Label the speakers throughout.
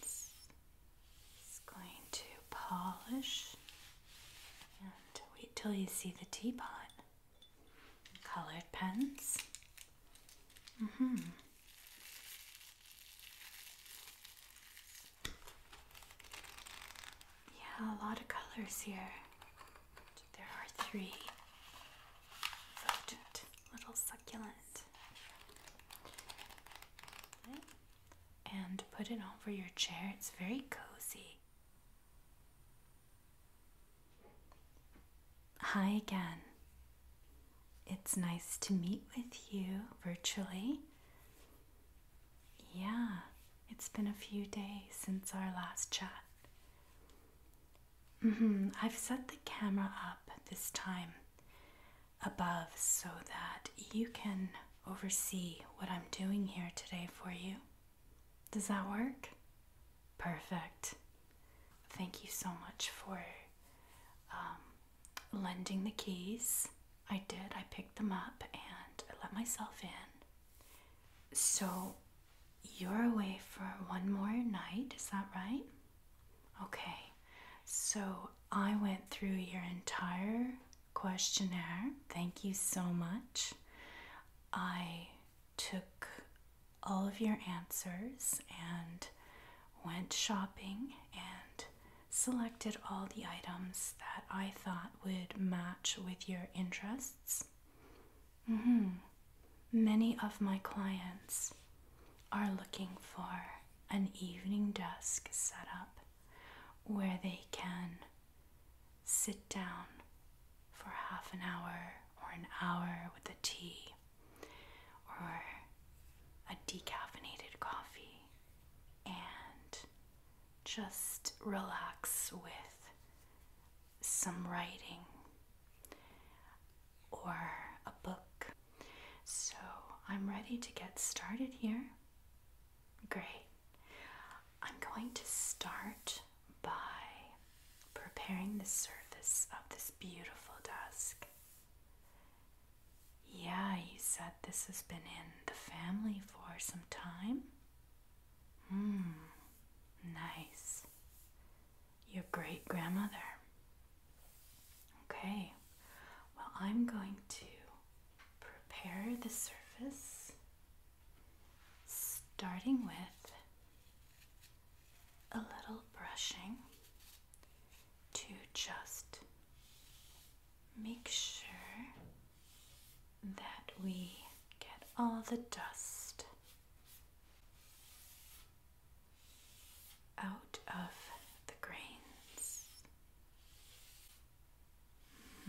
Speaker 1: It's going to polish and wait till you see the teapot. Colored pens. Mm hmm. Yeah, a lot of colors here. There are three. little succulents. And put it over your chair. It's very cozy. Hi again. It's nice to meet with you virtually. Yeah, it's been a few days since our last chat. Mm -hmm. I've set the camera up this time above so that you can oversee what I'm doing here today for you. Does that work? Perfect. Thank you so much for um, lending the keys. I did, I picked them up and let myself in. So you're away for one more night, is that right? Okay, so I went through your entire questionnaire. Thank you so much. I took all of your answers and went shopping and selected all the items that I thought would match with your interests. Mm-hmm. Many of my clients are looking for an evening desk set up where they can sit down for half an hour or an hour with a tea or a decaffeinated coffee and just relax with some writing or a book so I'm ready to get started here. Great. I'm going to start by preparing the surface of this beautiful desk. Yeah, you said this has been in the family for some time. Hmm, nice. Your great grandmother. Okay, well, I'm going to prepare the surface starting with a little brushing to just make sure that we get all the dust out of the grains.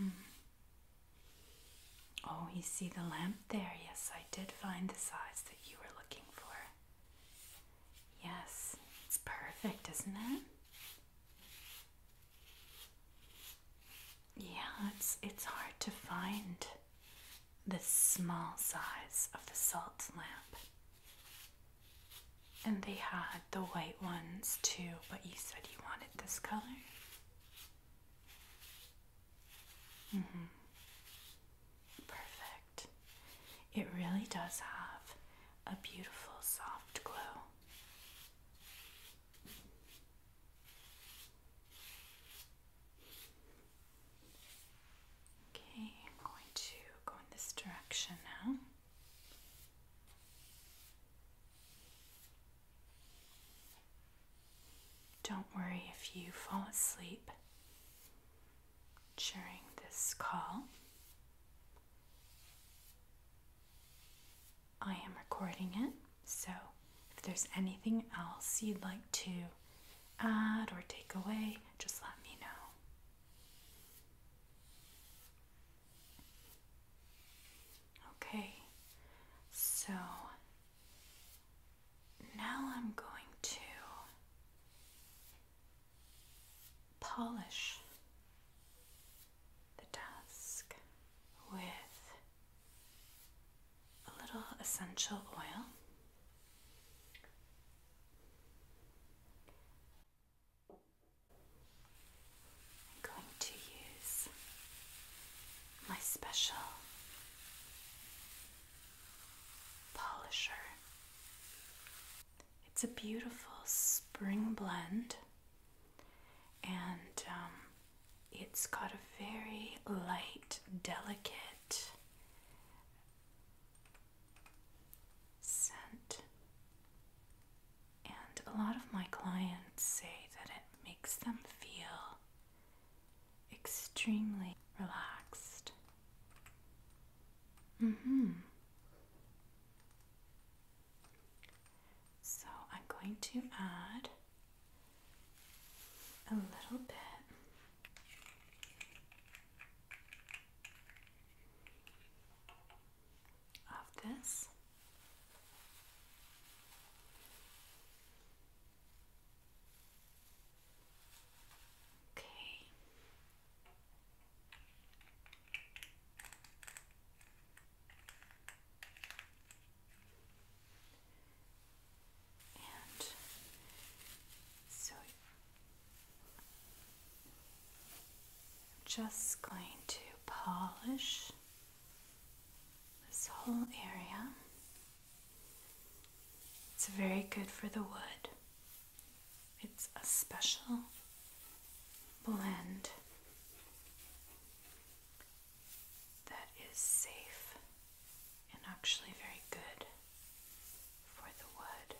Speaker 1: Mm-hmm. Oh, you see the lamp there? Yes, I did find the size that you were looking for. Yes, it's perfect, isn't it? Yeah, it's it's hard to find the small size of the salt lamp. And they had the white ones too, but you said you wanted this color. hmm. Perfect. It really does have a beautiful soft glow. Okay, I'm going to go in this direction now. Don't worry if you fall asleep during this call. I am recording it, so if there's anything else you'd like to add or take away, just let me know. Okay, so now I'm going to polish the desk with a little essential oil. I'm going to use my special polisher. It's a beautiful spring blend, and um, it's got a very light, delicate scent. And a lot of my clients say that it makes them feel extremely relaxed. Mm-hmm. So I'm going to add a little bit of this. Okay. And so just going to polish this whole area. It's very good for the wood. It's a special blend that is safe and actually very good for the wood.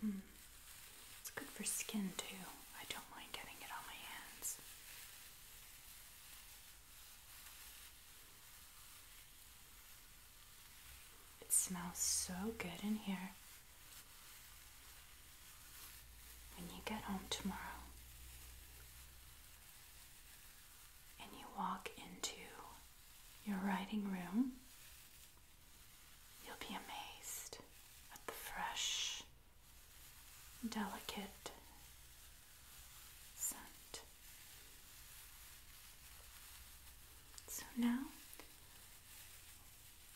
Speaker 1: Hmm. It's good for skin too. I don't mind getting it on my hands. It smells so good in here. When you get home tomorrow, and you walk into your writing room, you'll be amazed at the fresh, delicate scent. So now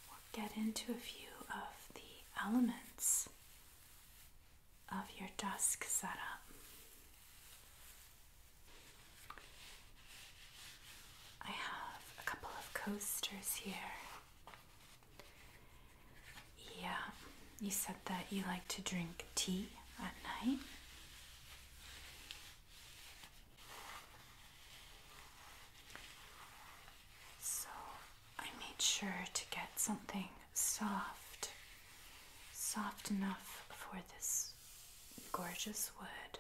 Speaker 1: we'll get into a few of the elements of your desk setup. I have a couple of coasters here. Yeah, you said that you like to drink tea at night. So I made sure to get something soft, soft enough for this gorgeous wood.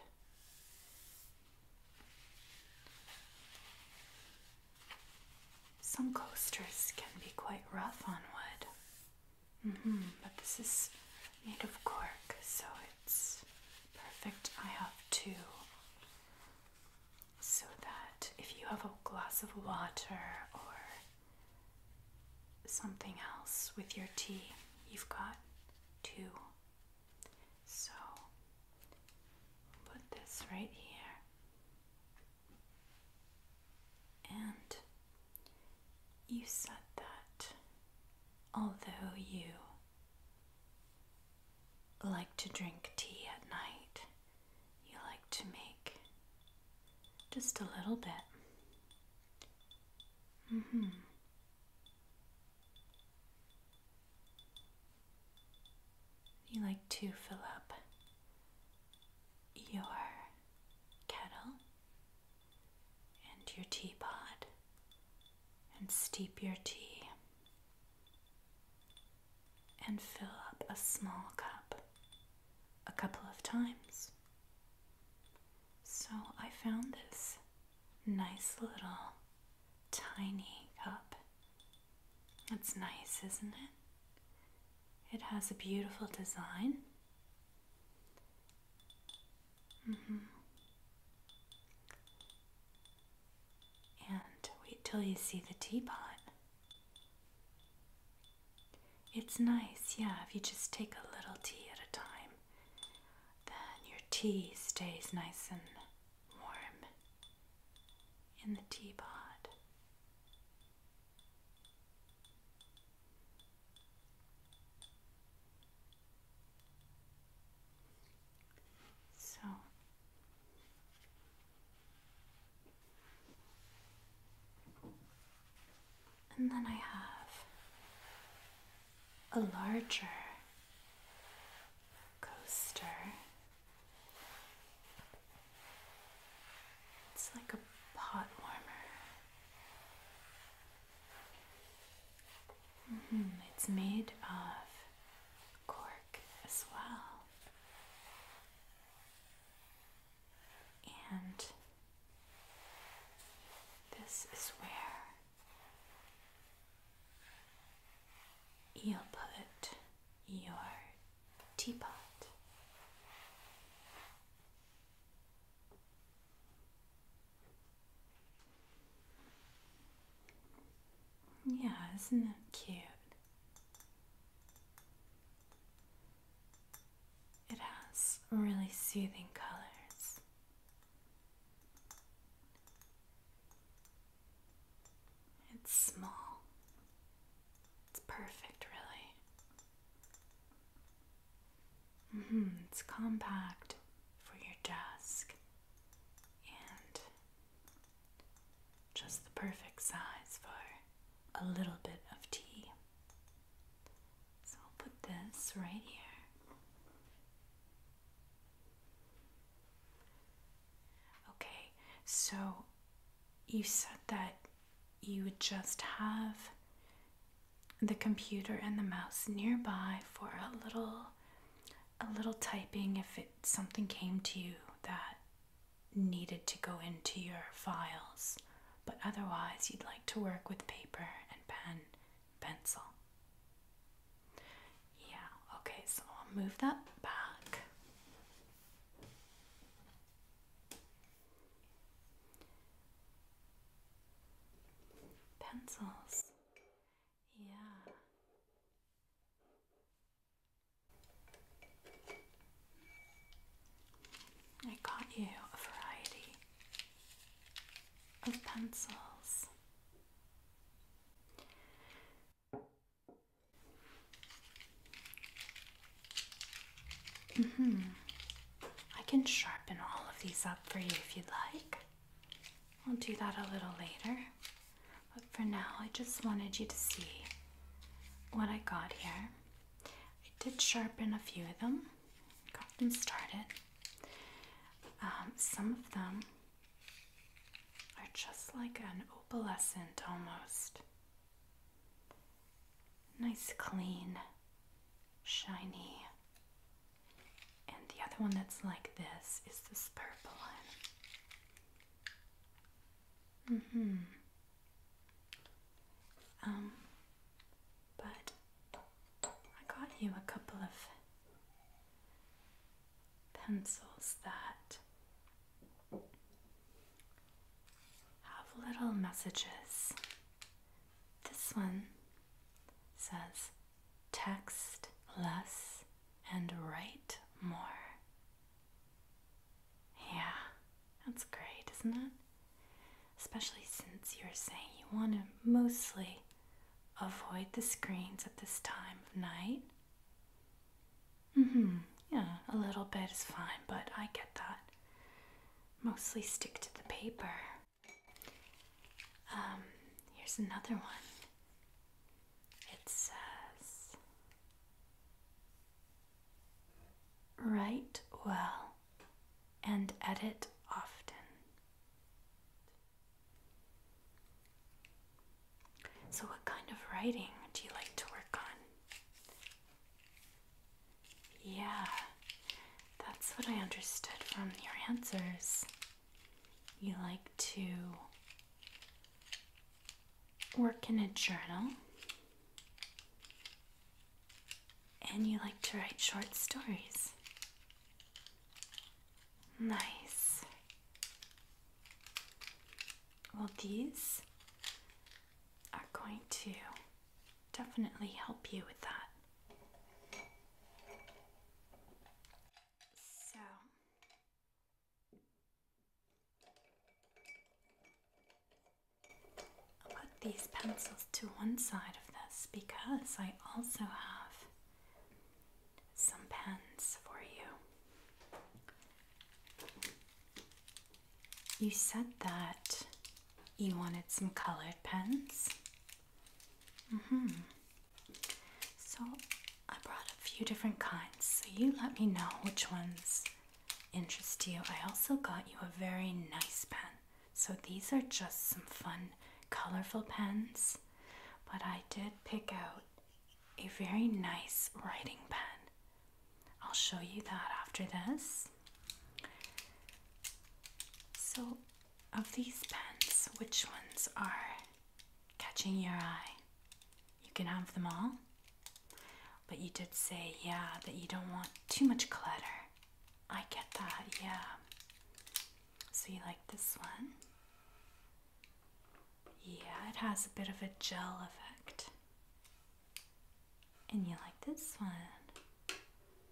Speaker 1: Some coasters can be quite rough on wood. Mm-hmm, but this is made of cork, so it's perfect. I have two. So that if you have a glass of water or something else with your tea. You've got two. So put this right here. And you said that although you like to drink tea at night, you like to make just a little bit. Mm-hmm. You like to fill up your kettle and your teapot and steep your tea and fill up a small cup a couple of times. So I found this nice little tiny cup. It's nice, isn't it? It has a beautiful design. Mm-hmm. And wait till you see the teapot. It's nice, yeah, if you just take a little tea at a time, then your tea stays nice and warm in the teapot. So and then I have a larger coaster. It's like a pot warmer. Mm-hmm, it's made of cork as well. And this is where you will put your teapot. Yeah, isn't that cute? It has really soothing colors. It's small. It's perfect, really. -hmm. It's compact for your desk and just the perfect size for a little bit of tea. So I'll put this right here. Okay, so you said that you would just have the computer and the mouse nearby for a little a little typing if it something came to you that needed to go into your files, but otherwise you'd like to work with paper and pen, pencil. Yeah, okay, so I'll move that back. Pencils. Yeah. I got you a variety of pencils. hmm I can sharpen all of these up for you if you'd like. I'll do that a little later. But for now, I just wanted you to see what I got here. I did sharpen a few of them, got them started. Um, some of them are just like an opalescent almost. Nice, clean, shiny. And the other one that's like this is this purple one. Mm-hmm. Um, but I got you a couple of pencils that have little messages. This one says text less and write more. Yeah, that's great, isn't it? Especially since you're saying you want to mostly avoid the screens at this time of night. Mm hmm, yeah, a little bit is fine, but I get that. Mostly stick to the paper. Um, here's another one. It says, Write well and edit often. So, what kind of writing do you like to work on? Yeah, that's what I understood from your answers. You like to work in a journal and you like to write short stories. Nice. Well, these are going to definitely help you with that. So, I'll put these pencils to one side of this because I also have some pens for you. You said that you wanted some colored pens. Mm-hmm. So I brought a few different kinds, so you let me know which ones interest you, I also got you a very nice pen. So these are just some fun, colorful pens, but I did pick out a very nice writing pen. I'll show you that after this. So, of these pens, which ones are catching your eye? You can have them all. But you did say, yeah, that you don't want too much clutter. I get that, yeah. So you like this one? Yeah, it has a bit of a gel effect. And you like this one?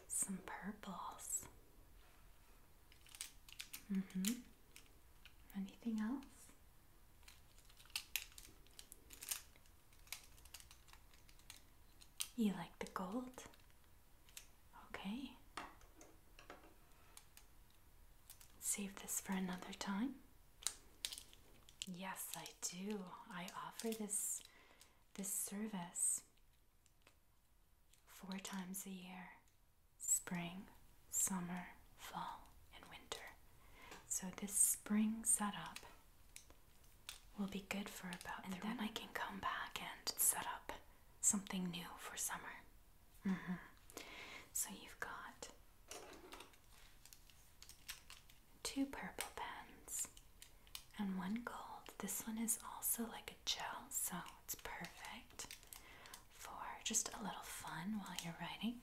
Speaker 1: Some purples. Mm hmm. Anything else? You like the gold? Okay. Save this for another time. Yes, I do. I offer this this service four times a year. Spring, summer, fall, and winter. So this spring setup will be good for about and then I can come back and set up something new for summer. Mm-hmm. So you've got two purple pens and one gold. This one is also like a gel, so it's perfect for just a little fun while you're writing.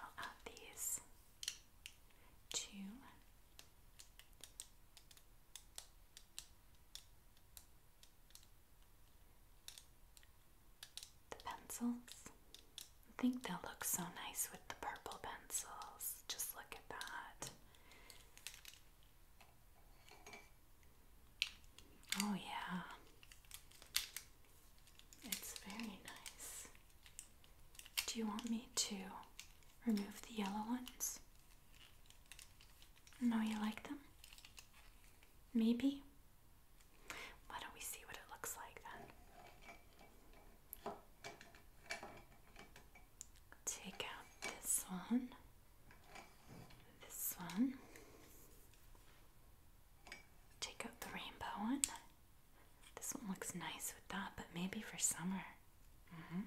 Speaker 1: I'll add these to the pencils. I think they'll look so nice with the purple pencils. Just look at that. Oh, yeah. It's very nice. Do you want me to remove the yellow ones? No, you like them? Maybe? Why don't we see what it looks like then? Take out this one, this one, Take out the rainbow one. This one looks nice with that, but maybe for summer. Mm-hmm.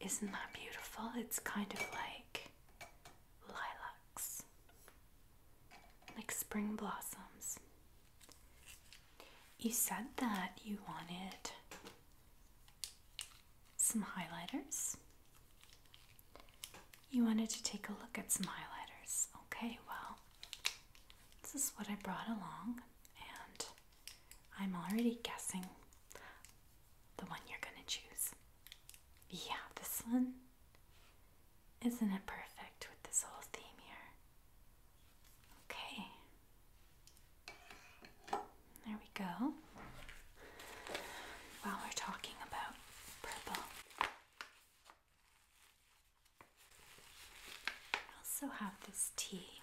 Speaker 1: Isn't that beautiful? It's kind of like lilacs, like spring blossoms. You said that you wanted some highlighters. You wanted to take a look at some highlighters. Okay, well, this is what I brought along, and I'm already guessing the one you're gonna choose. Yeah, this one. Isn't it perfect with this whole theme here? Okay. There we go while we're talking about purple. I also have this tea.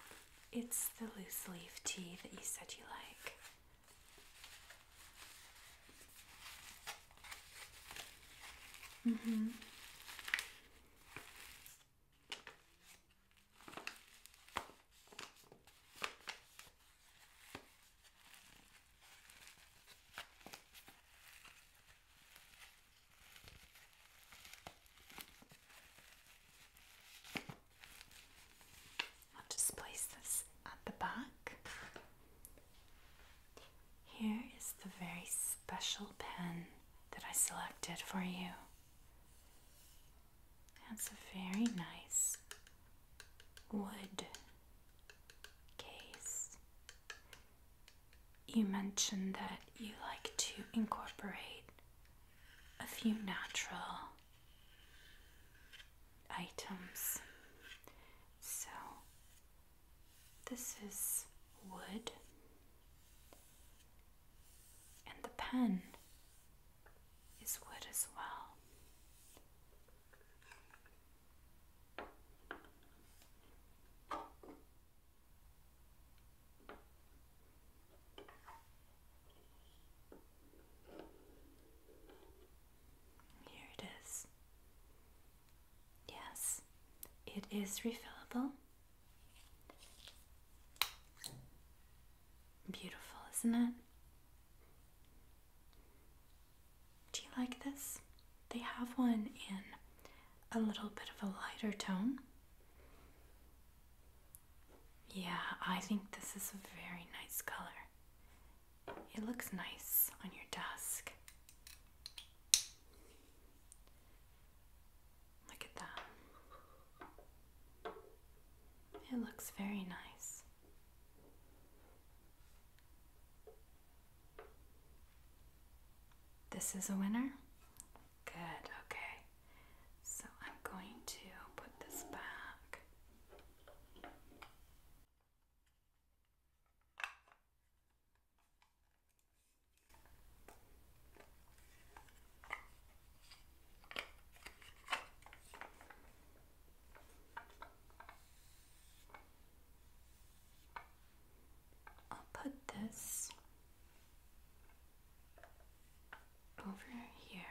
Speaker 1: It's the loose leaf tea that you said you like. Mm hmm I'll just place this at the back. Here is the very special pen that I selected for you. That's a very nice wood case. You mentioned that you like to incorporate a few natural items. So, this is wood and the pen is wood as well. Here it is. Yes, it is refillable. Beautiful, isn't it? Do you like this? They have one in a little bit of a lighter tone. Yeah, I think this is a very nice color. It looks nice on your desk. Look at that. It looks very nice. This is a winner? Good, okay. So I'm going to put this back. I'll put this over here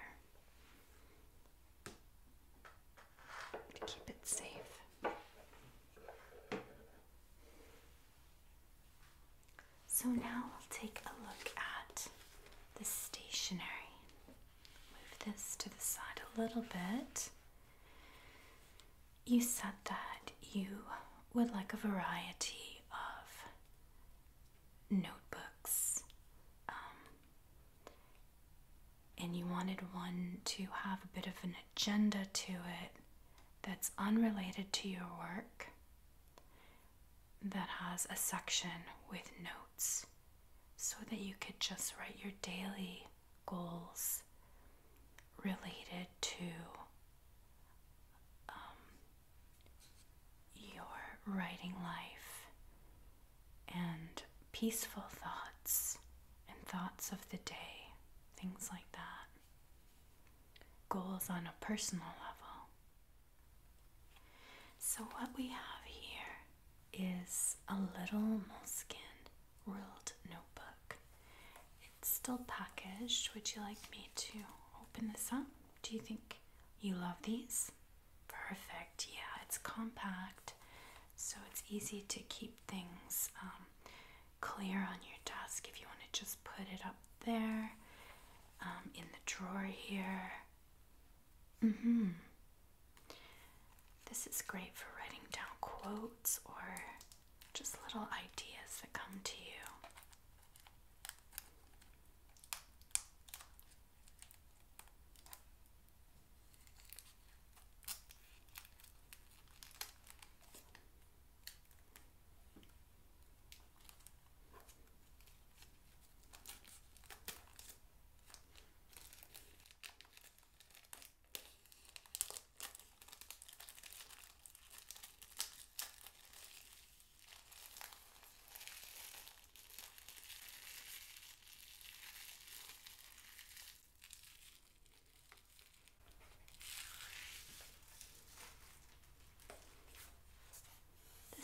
Speaker 1: to keep it safe. So now we'll take a look at the stationery. Move this to the side a little bit. You said that you would like a variety of notebooks, um, and you wanted one to have a bit of an agenda to it that's unrelated to your work, that has a section with notes so that you could just write your daily goals related to um, your writing life and peaceful thoughts and thoughts of the day, things like that. Goals on a personal level. So, what we have here is a little moleskin ruled notebook. It's still packaged. Would you like me to open this up? Do you think you love these? Perfect. Yeah, it's compact, so it's easy to keep things um, clear on your desk if you want to just put it up there um, in the drawer here. Mm-hmm. This is great for writing down quotes or just little ideas that come to you.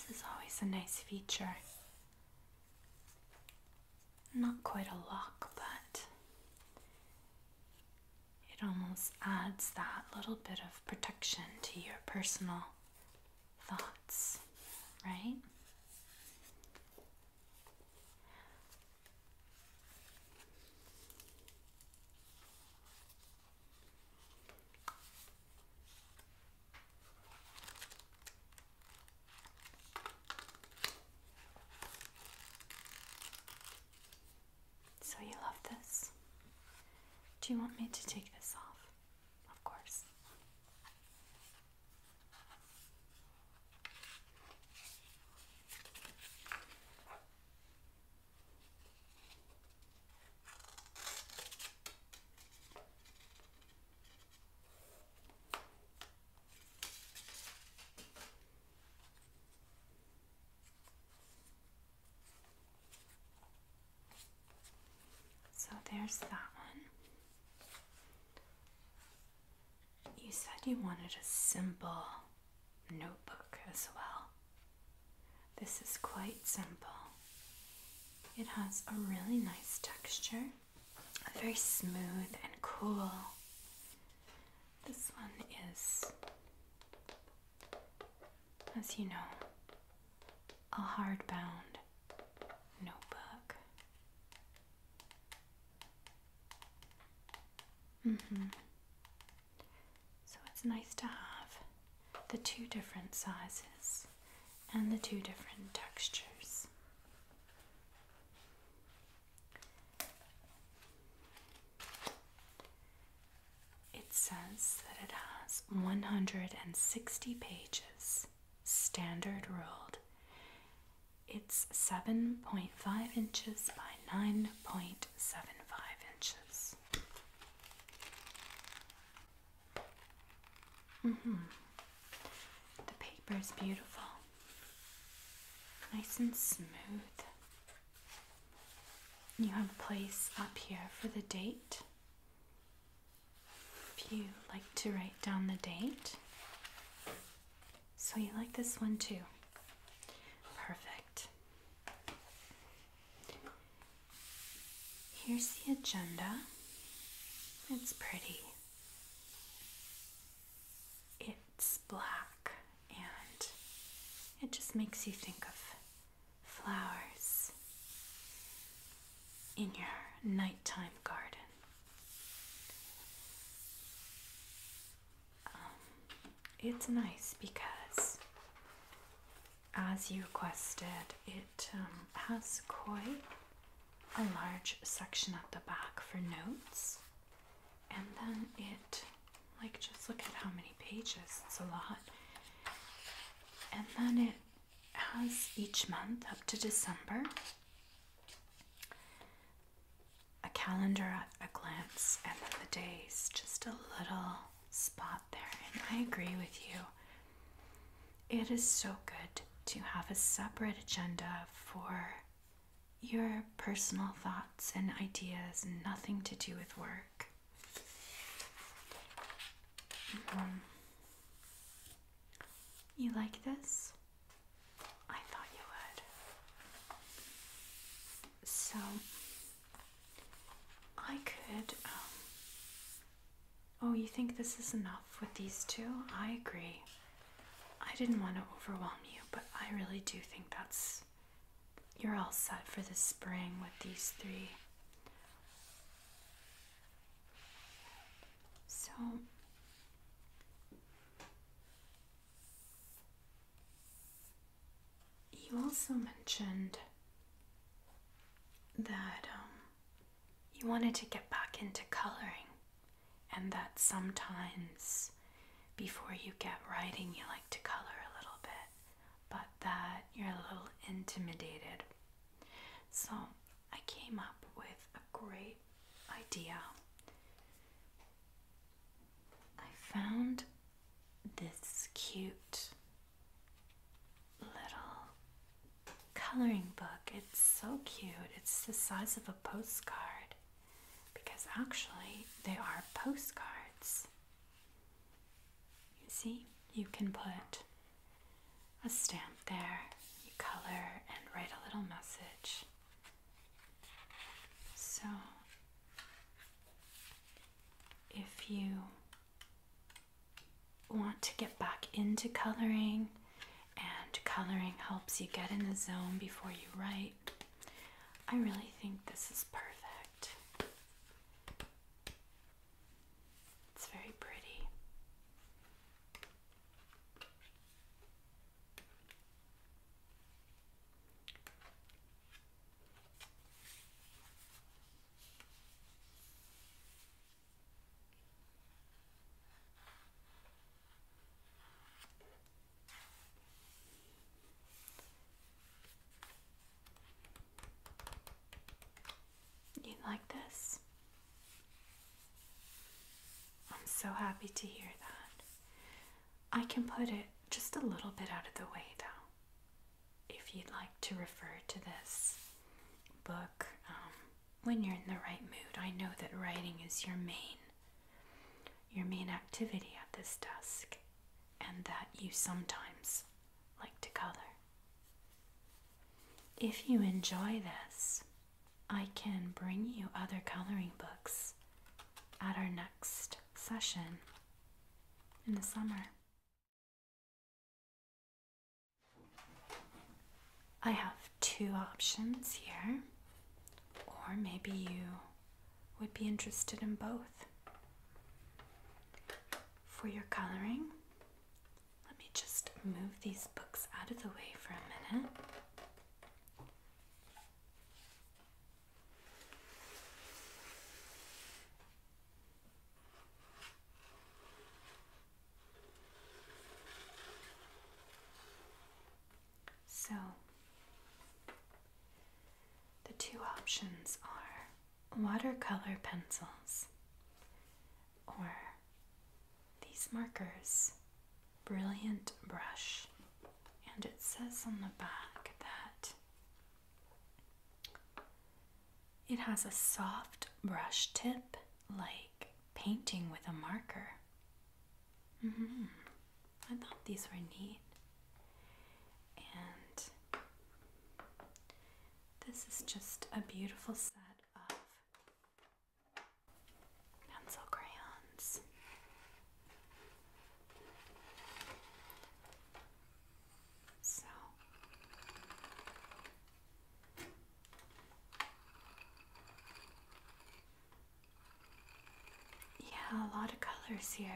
Speaker 1: This is always a nice feature not quite a lock, but it almost adds that little bit of protection to your personal thoughts, right? So you love this? Do you want me to take this off? Of course. So there's that one. You said you wanted a simple notebook as well. This is quite simple. It has a really nice texture very smooth and cool. This one is, as you know, a hardbound notebook. Mm hmm So it's nice to have the two different sizes and the two different textures. It says that it has 160 pages, standard ruled. It's 7.5 inches by 9.75 inches. Mm hmm the paper is beautiful, nice and smooth. You have a place up here for the date. If you like to write down the date. So you like this one too. Perfect. Here's the agenda. It's pretty. It's black and it just makes you think of flowers in your nighttime garden. Um, it's nice because, as you requested, it um, has koi a large section at the back for notes. And then it, like, just look at how many pages, it's a lot. And then it has each month up to December a calendar at a glance, and then the days, just a little spot there. And I agree with you, it is so good to have a separate agenda for your personal thoughts and ideas, nothing to do with work. Um, you like this? I thought you would. So, I could um, Oh, you think this is enough with these two? I agree. I didn't want to overwhelm you, but I really do think that's. You're all set for the spring with these three. So. You also mentioned that um, you wanted to get back into coloring, and that sometimes before you get writing, you like to color a little bit, but that you're a little intimidated. So, I came up with a great idea. I found this cute little coloring book. It's so cute. It's the size of a postcard because actually they are postcards. You see, you can put a stamp there, you color and write a little message. So if you want to get back into coloring, and coloring helps you get in the zone before you write, I really think this is perfect. It's very pretty. You like this? I'm so happy to hear that. I can put it just a little bit out of the way though. If you'd like to refer to this book um, when you're in the right mood, I know that writing is your main your main activity at this desk and that you sometimes like to color. If you enjoy this, I can bring you other coloring books at our next session in the summer. I have two options here, or maybe you would be interested in both. For your coloring, let me just move these books out of the way for a minute. So, the two options are watercolor pencils or these markers, Brilliant Brush. And it says on the back that it has a soft brush tip like painting with a marker. Mm-hmm. I thought these were neat. And this is just a beautiful set of pencil crayons. So yeah, a lot of colors here.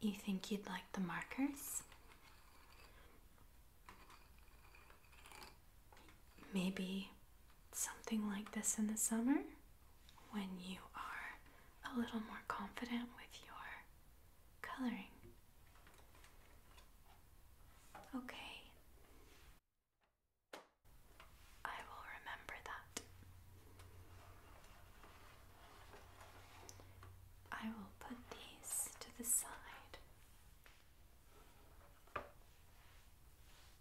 Speaker 1: You think you'd like the markers? Maybe something like this in the summer when you are a little more confident with your coloring. Okay. I will remember that. I will put these to the side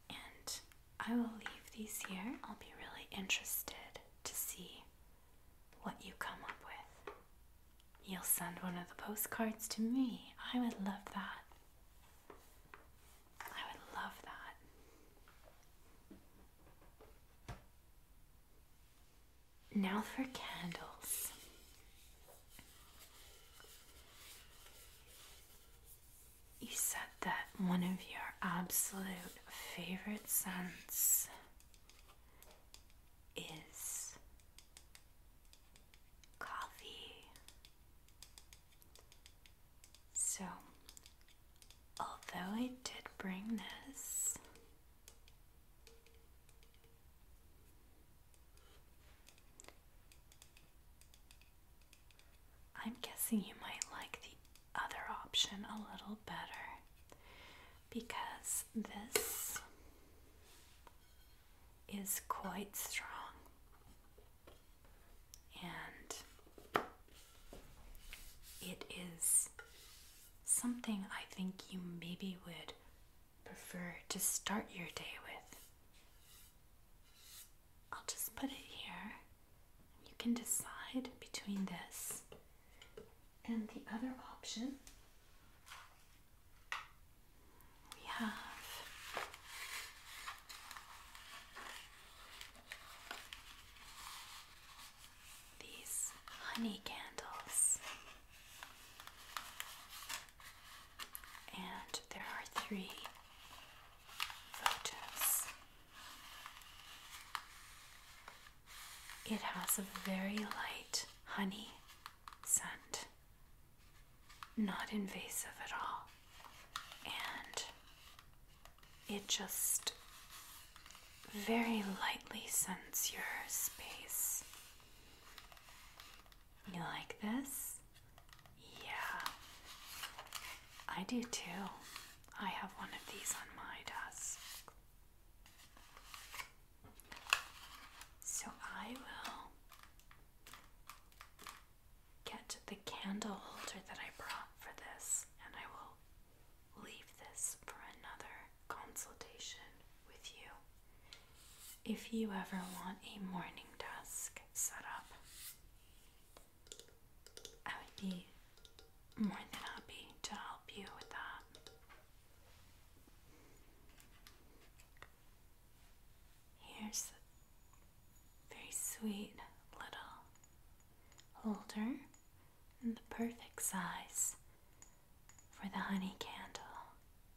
Speaker 1: and I will leave these here. I'll be really interested to see what you come up with. You'll send one of the postcards to me. I would love that. I would love that. Now for candles. You said that one of your absolute favorite scents is coffee. So, although I did bring this, I'm guessing you might like the other option a little better because this is quite strong and it is something I think you maybe would prefer to start your day with. I'll just put it here. You can decide between this and the other option. We have these honey candles and there are three photos. It has a very light honey scent, not invasive at all, and it just very lightly scents your space. You like this? Yeah. I do too. I have one of these on my desk. So I will get the candle holder that I brought for this and I will leave this for another consultation with you if you ever want a morning desk set up, I would be more than happy to help you with that. Here's a very sweet little holder and the perfect size for the honey candle.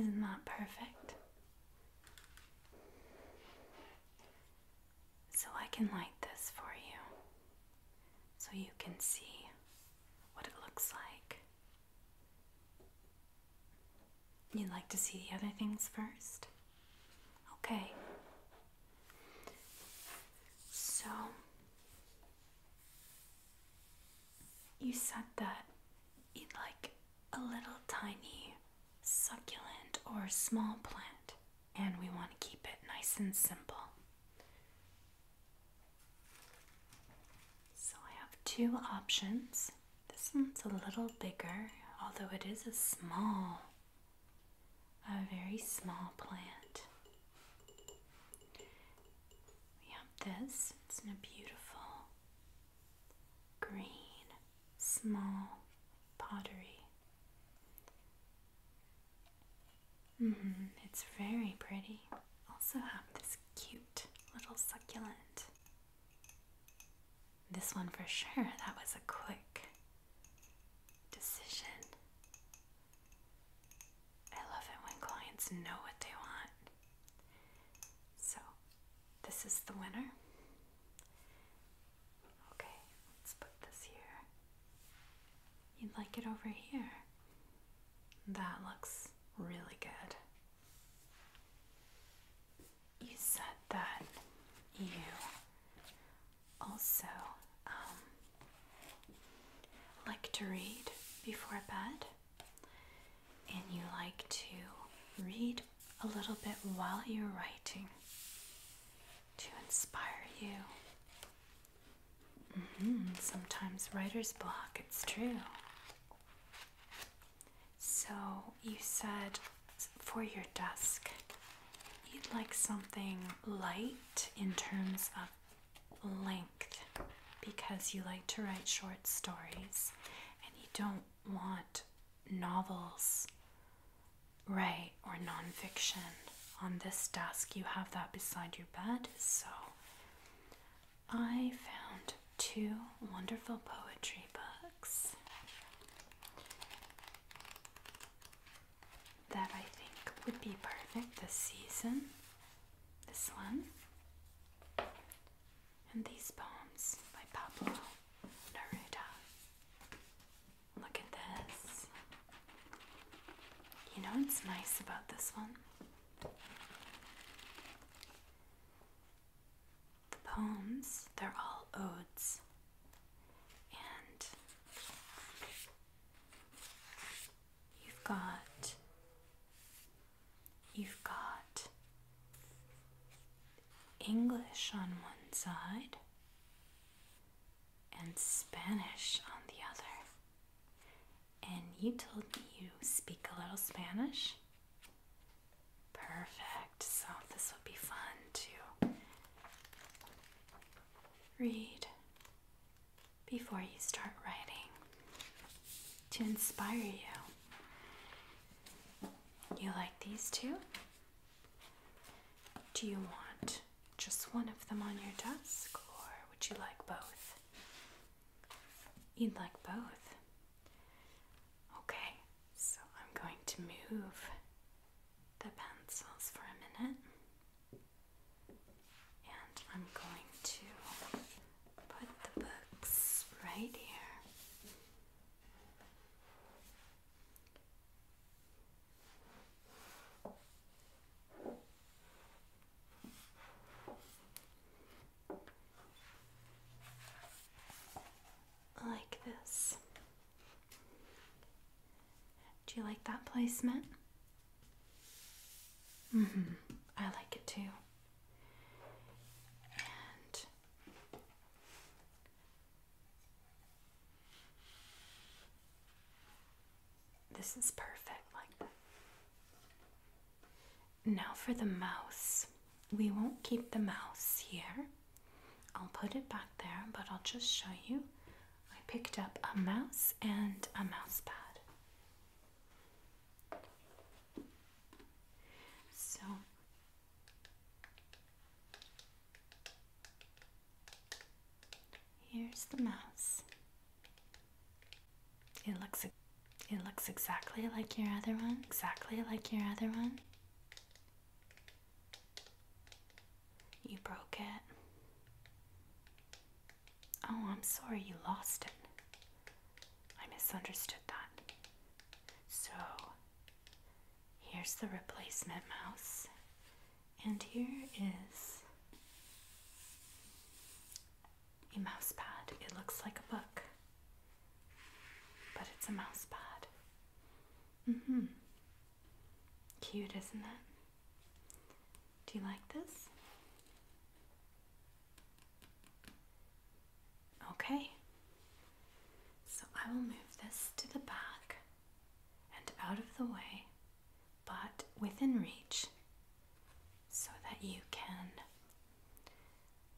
Speaker 1: Isn't that perfect? So I can light this for you so you can see what it looks like. You'd like to see the other things first? Okay. So, you said that in like a little tiny succulent or small plant, and we want to keep it nice and simple. So I have two options. This one's a little bigger, although it is a small, a very small plant. We have this, is in a beautiful green, small pottery. -hmm, it's very pretty. Also, have this cute little succulent. This one for sure, that was a quick decision. I love it when clients know what they want. So, this is the winner. Okay, let's put this here. You'd like it over here. That looks really good. You said that you also um, like to read before bed, and you like to read a little bit while you're writing to inspire you. Mm-hmm. Sometimes writer's block, it's true. So you said for your desk, you'd like something light in terms of length because you like to write short stories and you don't want novels, right, or nonfiction. On this desk, you have that beside your bed, so I found two wonderful poetry books that I think would be perfect this season. This one and these poems by Pablo Neruda. Look at this. You know what's nice about this one? The poems, they're all odes. And you've got, you've got English on one side and Spanish on the other. And you told me you speak a little Spanish? Perfect. So this will be fun to read before you start writing to inspire you. You like these two? Do you want just one of them on your desk or would you like both? You'd like both. Okay, so I'm going to move the pencils for a minute. And I'm going to put the books right here like this. Do you like that placement? Mm hmm. I like it too this is perfect like that. Now for the mouse. We won't keep the mouse here. I'll put it back there, but I'll just show you. I picked up a mouse and a mousepad. So Here's the mouse. It looks it looks exactly like your other one, exactly like your other one. You broke it. Oh, I'm sorry you lost it. I misunderstood that. So, Here's the replacement mouse, and here is a mouse pad. It looks like a book, but it's a mouse pad. hmm. Cute, isn't it? Do you like this? Okay. So I will move this to the back and out of the way, but within reach, so that you can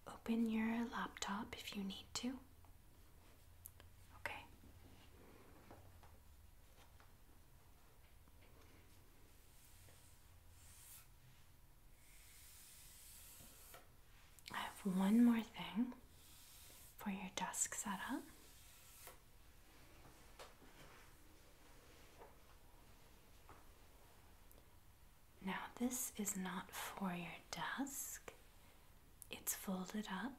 Speaker 1: open your laptop if you need to. Okay. I have one more thing for your desk setup. Now, this is not for your desk, it's folded up.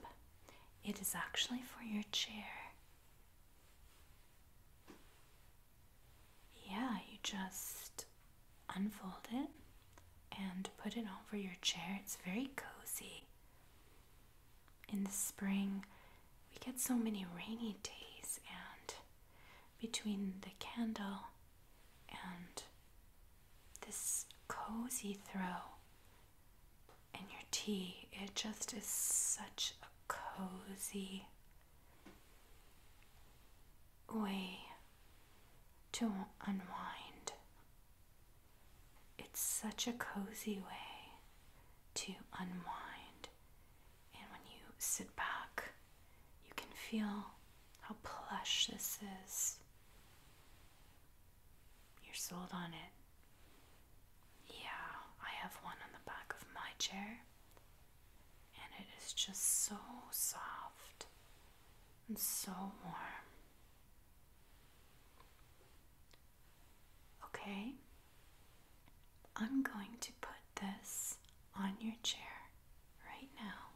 Speaker 1: It is actually for your chair. Yeah, you just unfold it and put it over your chair. It's very cozy. In the spring, we get so many rainy days, and between the candle and this cozy throw and your tea, it just is such a cozy way to unwind. It's such a cozy way to unwind. And when you sit back, you can feel how plush this is. You're sold on it. Yeah, I have one on the back of my chair, and it is just so soft and so warm. Okay, I'm going to put this on your chair right now.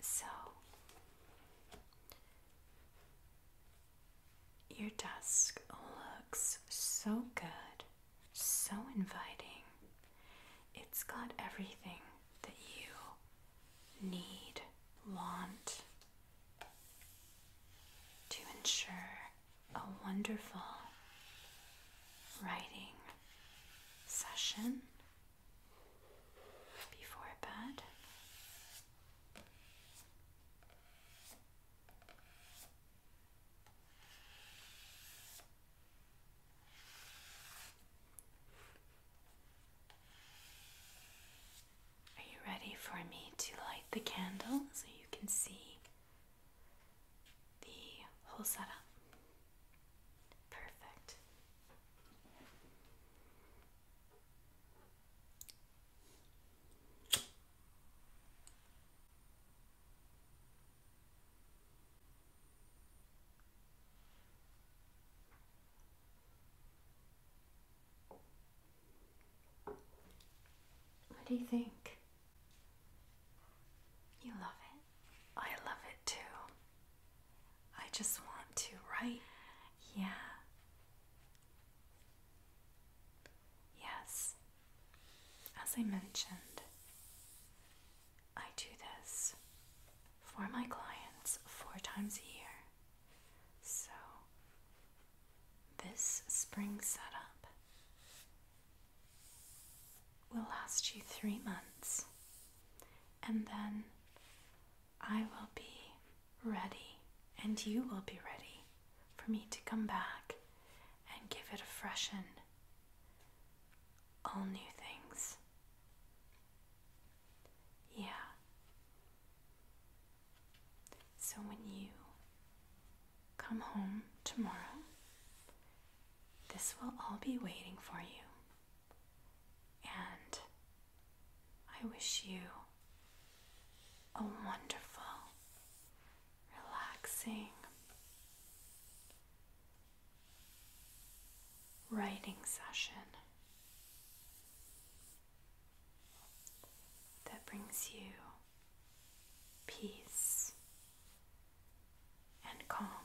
Speaker 1: So, your desk looks so good, so inviting. It's got everything that you need, want to ensure a wonderful writing session before bed. Are you ready for me to light the candle so you can see the whole setup? Perfect. What do you think? You love it. I love it too. I just want to, write. Yeah. Yes, as I mentioned, I do this for my clients four times a year. So, this spring setup will last you three months, and then I will be ready, and you will be ready for me to come back and give it a freshen. All new things. Yeah. So when you come home tomorrow, this will all be waiting for you. And I wish you a wonderful, relaxing, writing session that brings you peace and calm.